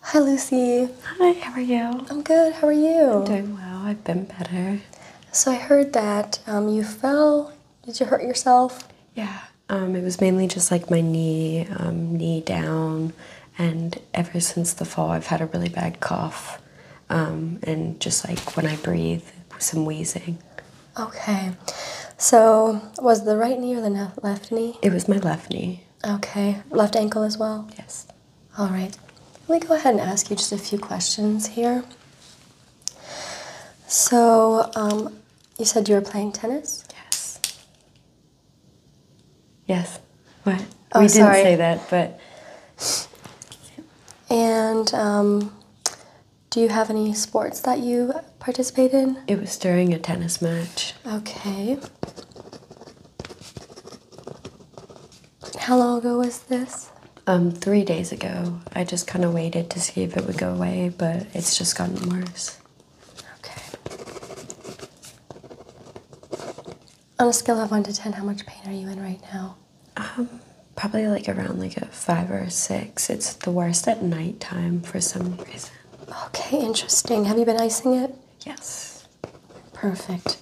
Hi, Lucy. Hi, how are you? I'm good. How are you? I'm doing well. I've been better. So, I heard that um, you fell. Did you hurt yourself? Yeah. Um, it was mainly just like my knee, um, knee down. And ever since the fall, I've had a really bad cough. and just like when I breathe, some wheezing. Okay. So, was the right knee or the left knee? It was my left knee. Okay. Left ankle as well? Yes. All right. Let me go ahead and ask you just a few questions here. So, um, you said you were playing tennis? Yes. Yes. What? Oh, we didn't say that, but. And um, do you have any sports that you participate in? It was during a tennis match. Okay. How long ago was this? Um, three days ago. I just kind of waited to see if it would go away, but it's just gotten worse. Okay. On a scale of one to ten, how much pain are you in right now? Um, probably like around like a five or six. It's the worst at nighttime for some reason. Okay, interesting. Have you been icing it? Yes. Perfect.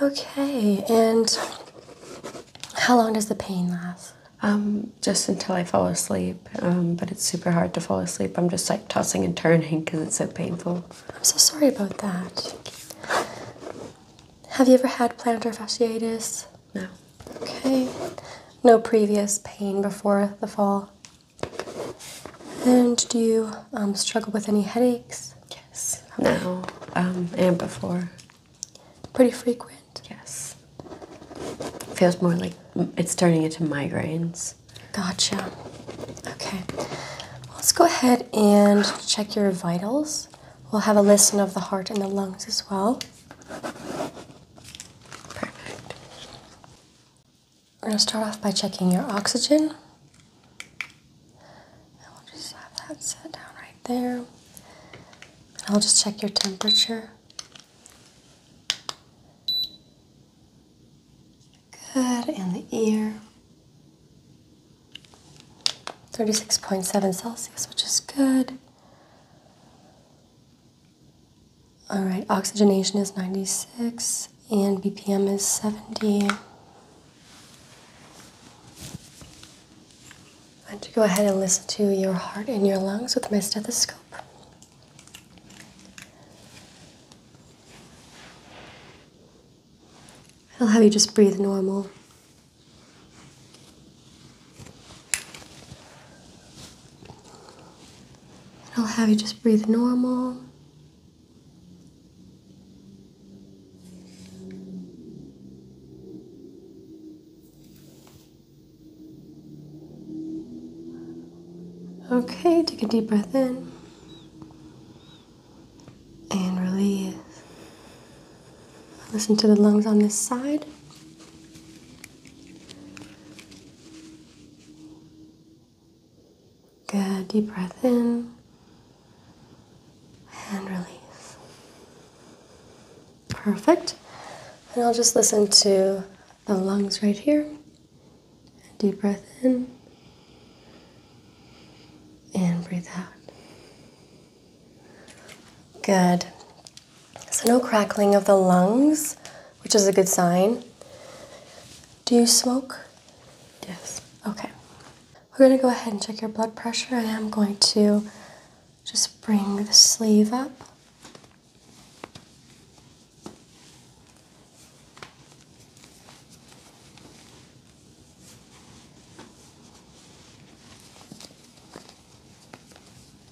Okay, and how long does the pain last? Um, just until I fall asleep. Um, but it's super hard to fall asleep. I'm just like tossing and turning because it's so painful. I'm so sorry about that. Have you ever had plantar fasciitis? No. Okay. No previous pain before the fall? And do you um, struggle with any headaches? Yes. Now um, and before. Pretty frequent? Yes. Feels more like it's turning into migraines. Gotcha. Okay. Let's go ahead and check your vitals. We'll have a listen of the heart and the lungs as well. Perfect. We're going to start off by checking your oxygen. And we'll just have that set down right there. And I'll just check your temperature. Good, and the ear. 36.7 Celsius, which is good. All right, oxygenation is 96 and BPM is 70. I have to go ahead and listen to your heart and your lungs with my stethoscope. I'll have you just breathe normal. And I'll have you just breathe normal. Okay, take a deep breath in and release. Listen to the lungs on this side. Good. Deep breath in and release. Perfect. And I'll just listen to the lungs right here. Deep breath in and breathe out. Good. So, no crackling of the lungs, which is a good sign. Do you smoke? Yes. Okay. We're going to go ahead and check your blood pressure. I am going to just bring the sleeve up.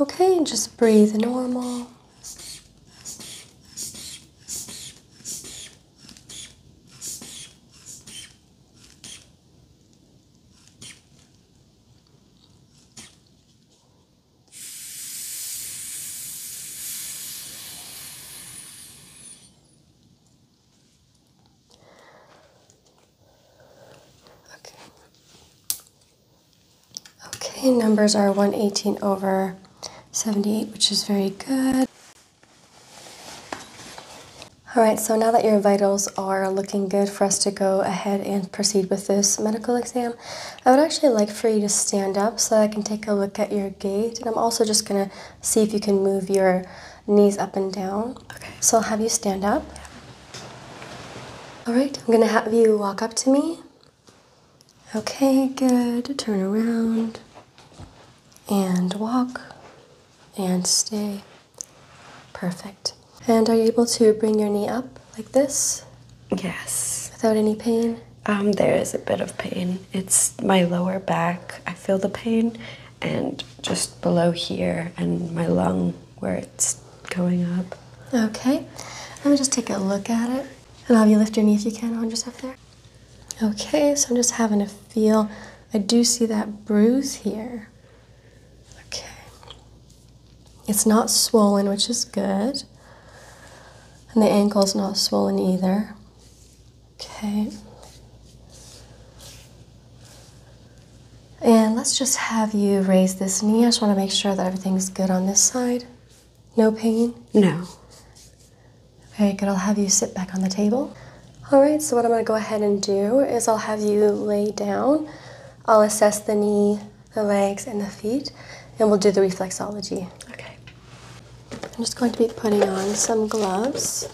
Okay, just breathe normal. Okay. Okay, numbers are 118 over 78, which is very good. All right, so now that your vitals are looking good for us to go ahead and proceed with this medical exam, I would actually like for you to stand up so I can take a look at your gait. And I'm also just gonna see if you can move your knees up and down. Okay. So I'll have you stand up. Yeah. All right, I'm gonna have you walk up to me. Okay, good. Turn around and walk and stay. Perfect. And are you able to bring your knee up like this? Yes. Without any pain? Um, there is a bit of pain. It's my lower back. I feel the pain, and just below here, and my lung where it's going up. Okay. Let me just take a look at it. And I'll have you lift your knee if you can hold yourself there. Okay, so I'm just having a feel. I do see that bruise here. Okay. It's not swollen, which is good. And the ankle is not swollen either. Okay. And let's just have you raise this knee. I just want to make sure that everything's good on this side. No pain? No. Okay. good. I'll have you sit back on the table. All right, so what I'm going to go ahead and do is I'll have you lay down. I'll assess the knee, the legs, and the feet, and we'll do the reflexology. Okay. I'm just going to be putting on some gloves.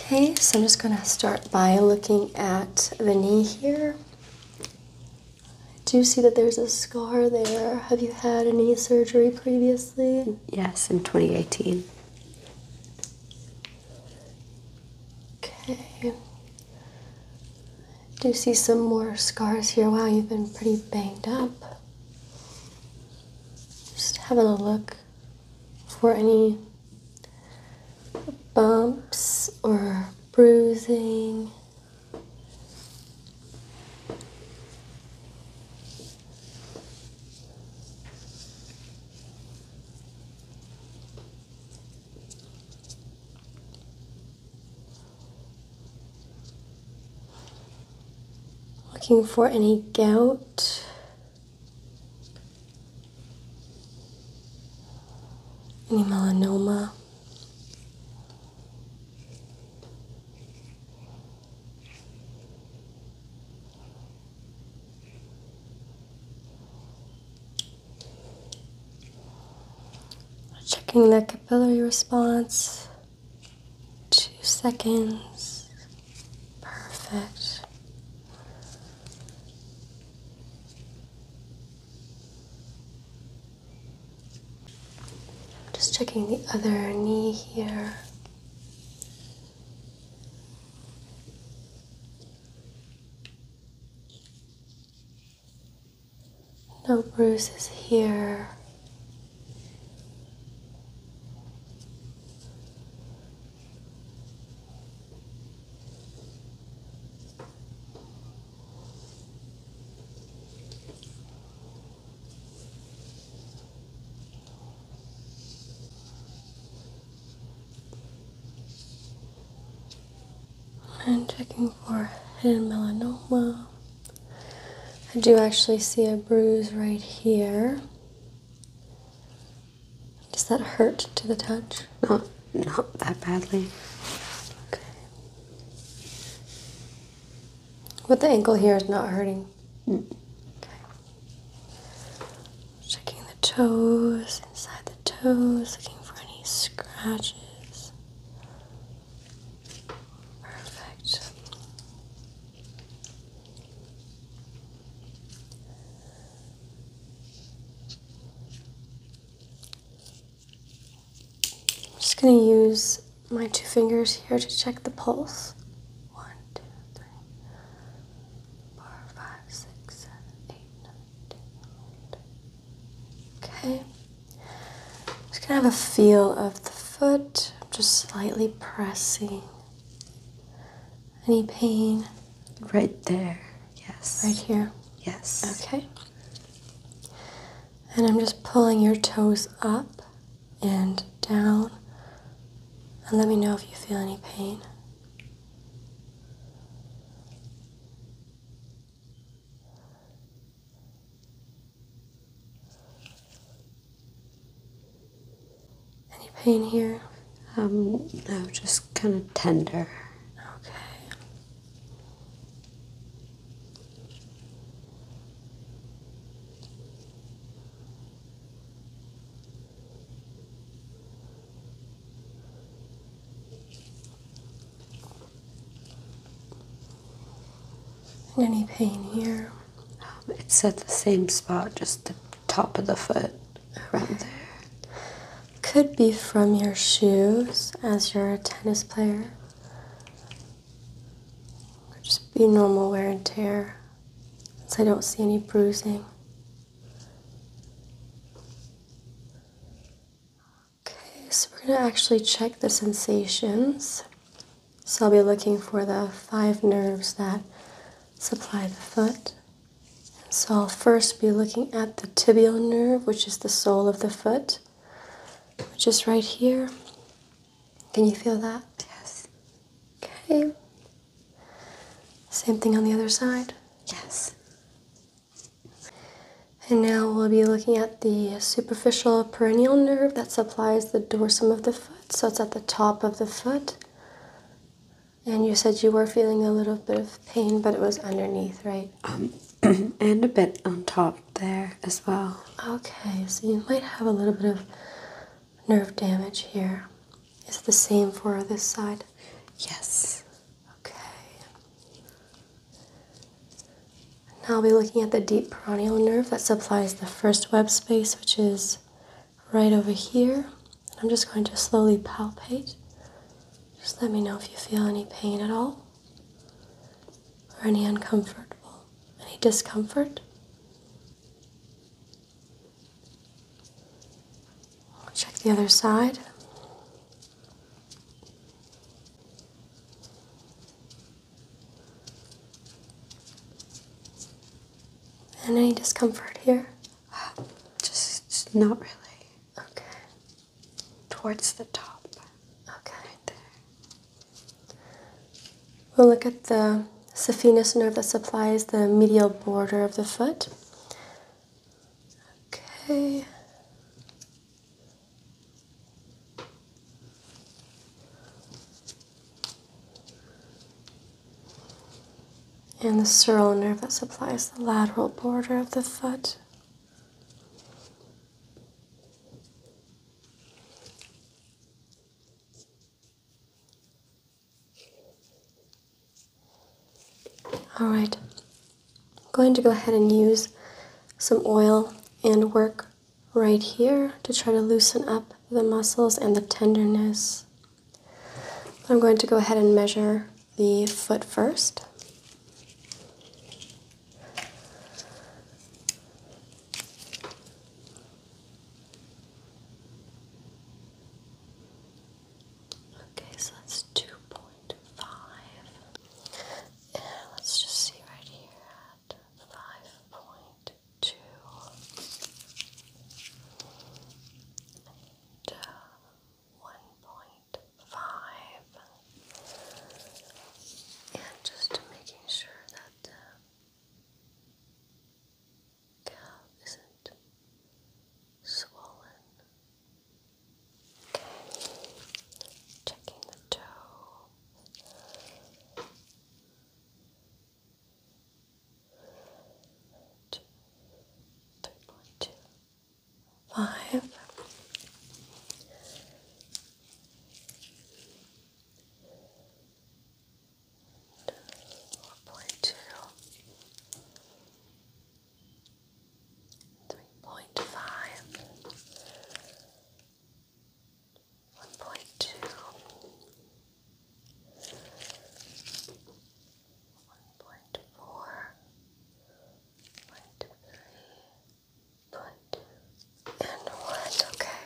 Okay, so I'm just going to start by looking at the knee here. Do you see that there's a scar there? Have you had any surgery previously? Yes, in 2018. Okay. Do you see some more scars here? Wow, you've been pretty banged up. Just having a look for any bumps or bruising. Looking for any gout melanoma. Checking the capillary response. Two seconds. Perfect. Just checking the other knee here. No bruises here. I'm checking for hidden melanoma. I do actually see a bruise right here. Does that hurt to the touch? Not, not that badly. Okay. the ankle here is not hurting. Mm. Okay. Checking the toes, inside the toes, looking for any scratches. Perfect. I'm just going to use my two fingers here to check the pulse. One, two, three, four, five, six, seven, eight, nine, ten, eleven, Okay. just going to have a feel of the foot, just slightly pressing any pain right there. Yes. Right here? Yes. Okay. And I'm just pulling your toes up and down. And let me know if you feel any pain. Any pain here? Um, no, just kind of tender. Okay. any pain here? Um, it's at the same spot, just the top of the foot, around there could be from your shoes as you're a tennis player, just be normal wear and tear since I don't see any bruising. Okay, so we're going to actually check the sensations. So I'll be looking for the five nerves that supply the foot. So I'll first be looking at the tibial nerve, which is the sole of the foot, which is right here. Can you feel that? Yes. Okay. Same thing on the other side? Yes. And now we'll be looking at the superficial perennial nerve that supplies the dorsum of the foot. So it's at the top of the foot. And you said you were feeling a little bit of pain, but it was underneath, right? Um, and a bit on top there as well. Okay, so you might have a little bit of nerve damage here. Is it the same for this side? Yes. Okay. Now I'll be looking at the deep peroneal nerve that supplies the first web space, which is right over here. And I'm just going to slowly palpate. Just let me know if you feel any pain at all or any uncomfortable, any discomfort. check the other side. any discomfort here? just, just not really. Okay. Towards the top. Okay. Right there. We'll look at the saphenous nerve that supplies the medial border of the foot. Okay and the sural nerve that supplies the lateral border of the foot. All right, I'm going to go ahead and use some oil and work right here to try to loosen up the muscles and the tenderness. I'm going to go ahead and measure the foot first. Okay, so that's 2.5. let's just see right here at 5.2. 1.5 and just making sure that the calf isn't swollen. checking the toe two, three point two five four point two three point five one point two one point four, point three, point two, and one. Okay.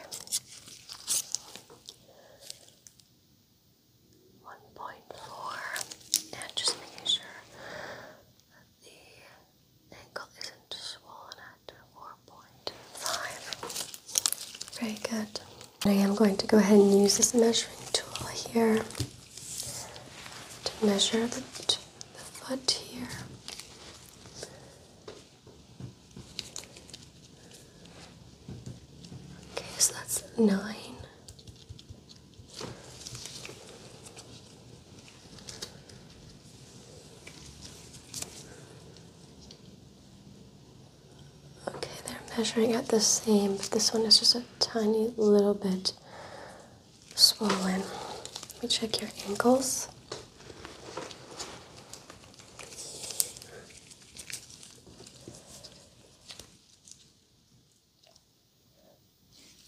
One point four, and just making sure that the ankle isn't swollen at four point five. Very good. I am going to go ahead and use this measuring tool here to measure the, foot here. Okay, so that's nine. Okay, they're measuring at the same, but this one is just a tiny little bit swollen. Let me check your ankles.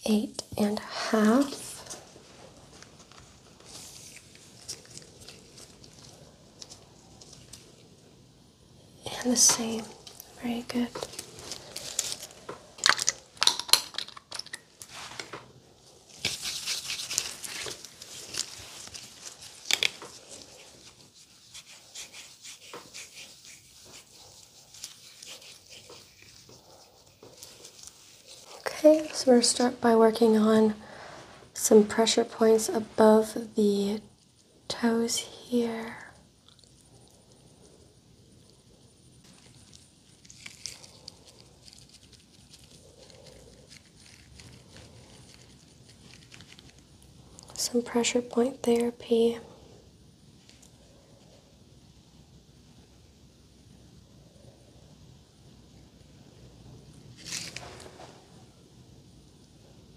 Eight and a half and the same. Very good. Okay, so we're going to start by working on some pressure points above the toes here. Some pressure point therapy.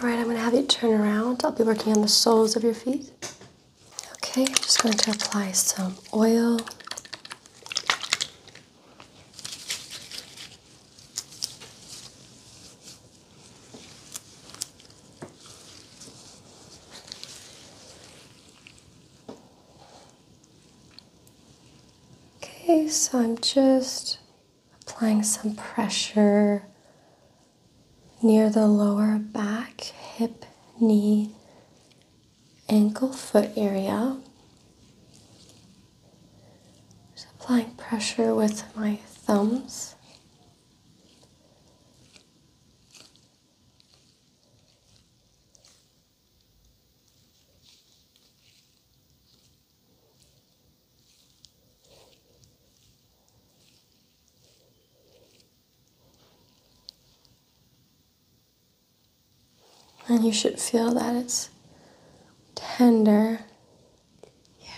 All right, I'm going to have you turn around. I'll be working on the soles of your feet. Okay, I'm just going to apply some oil. Okay, so I'm just applying some pressure near the lower back, hip, knee, ankle foot area. applying pressure with my thumbs. And you should feel that it's tender. Yeah.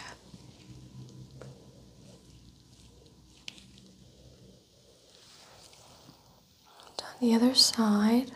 on the other side.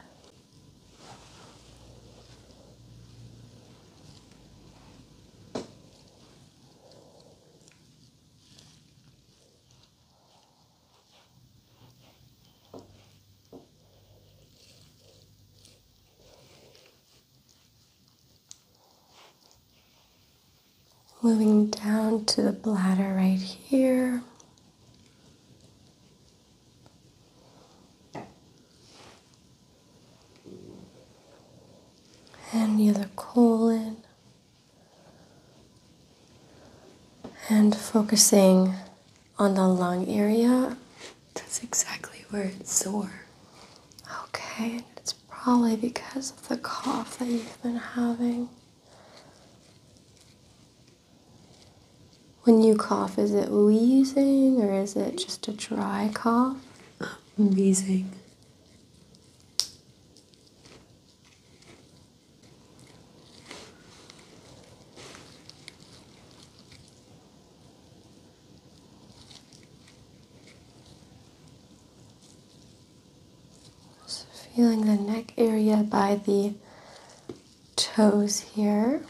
Moving down to the bladder right here. And the other colon. And focusing on the lung area. That's exactly where it's sore. Okay, it's probably because of the cough that you've been having. When you cough, is it wheezing or is it just a dry cough? Uh, wheezing feeling the neck area by the toes here.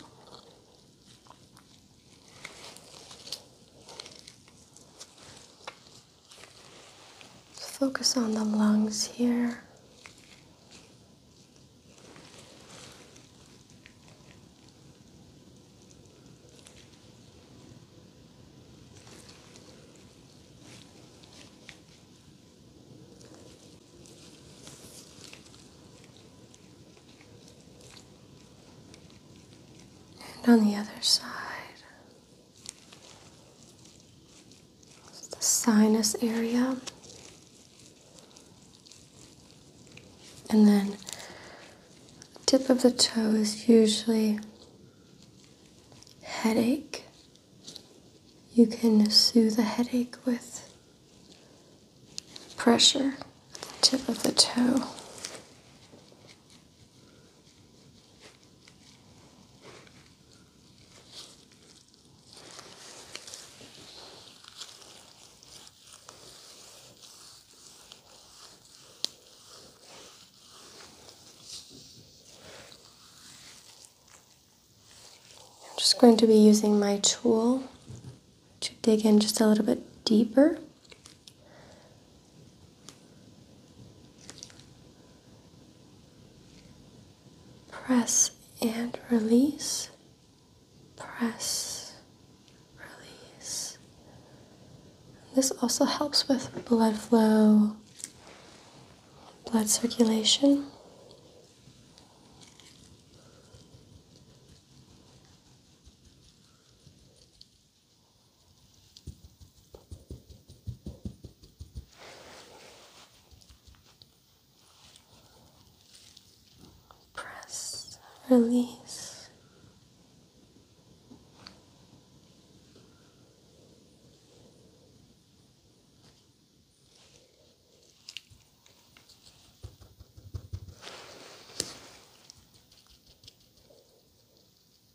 Just focus on the lungs here. And on the other side, the sinus area. And then tip of the toe is usually headache. You can soothe a headache with pressure at the tip of the toe. I'm just going to be using my tool to dig in just a little bit deeper press and release, press, release. This also helps with blood flow, blood circulation. Press, release.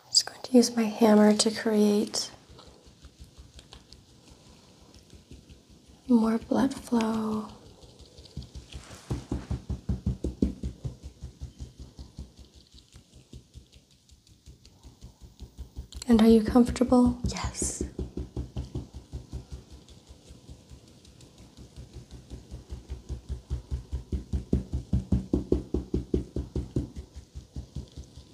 I'm just going to use my hammer to create more blood flow. And are you comfortable? Yes.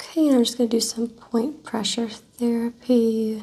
Okay, I'm just going to do some point pressure therapy.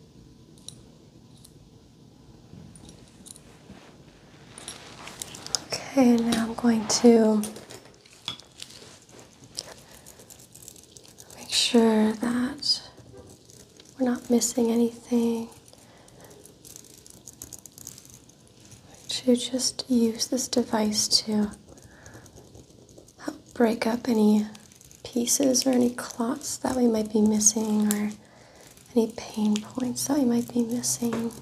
Okay, now I'm going to make sure that we're not missing anything. To just use this device to help break up any pieces or any clots that we might be missing or any pain points that we might be missing.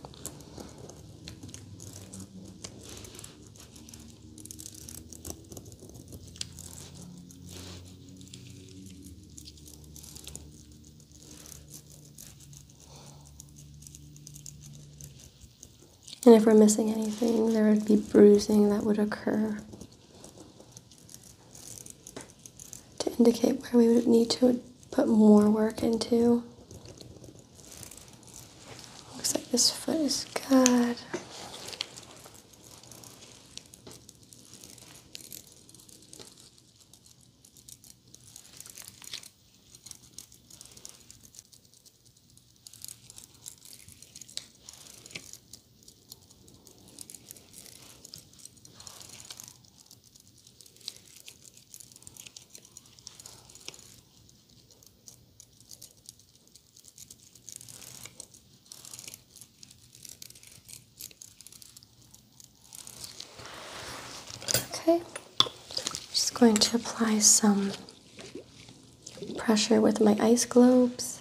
And if we're missing anything, there would be bruising that would occur to indicate where we would need to put more work into. Looks like this foot is good. Okay, just going to apply some pressure with my ice globes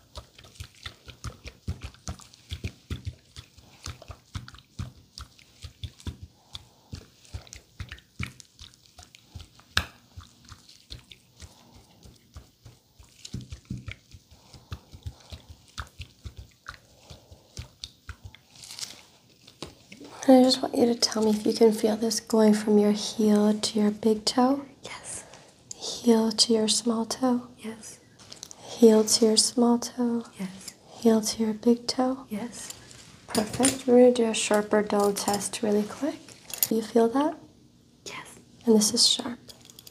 I just want you to tell me if you can feel this going from your heel to your big toe. Yes. Heel to your small toe. Yes. Heel to your small toe. Yes. Heel to your big toe. Yes. Perfect. We're going to do a sharper dull test really quick. Do you feel that? Yes. And this is sharp.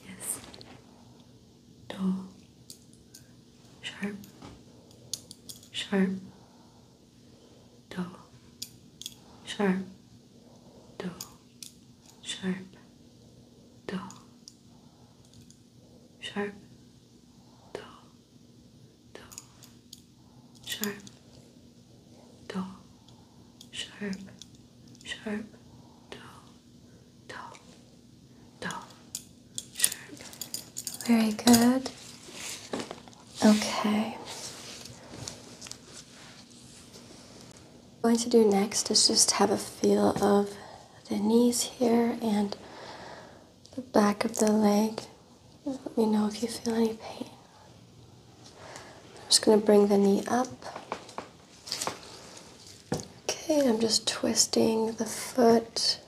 Yes. Dull. Sharp. Sharp. Dull. Sharp. Dull sharp, dull, sharp, dull, dull, sharp, dull, sharp, sharp, dull, dull, dull, sharp. Very good. Okay going to do next is just have a feel of the knees here and the back of the leg. Let me know if you feel any pain. I'm just going to bring the knee up. Okay, I'm just twisting the foot.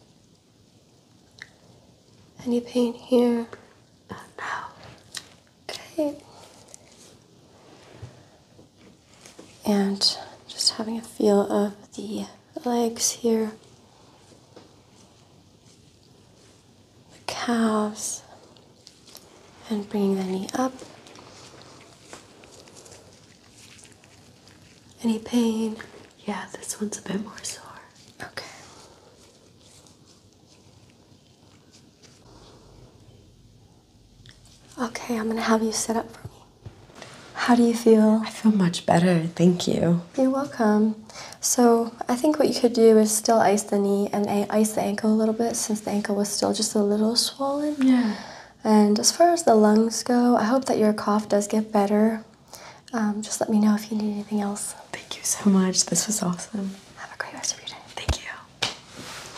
Any pain here? Uh, okay and just having a feel of the legs here, the calves, and bringing the knee up. Any pain? Yeah, this one's a bit more sore. Okay. Okay, I'm gonna have you sit up for me. How do you feel? I feel much better, thank you. You're welcome. So, I think what you could do is still ice the knee and ice the ankle a little bit since the ankle was still just a little swollen. Yeah. And as far as the lungs go, I hope that your cough does get better. Um, just let me know if you need anything else. Thank you so much. This was awesome. Have a great rest of your day. Thank you.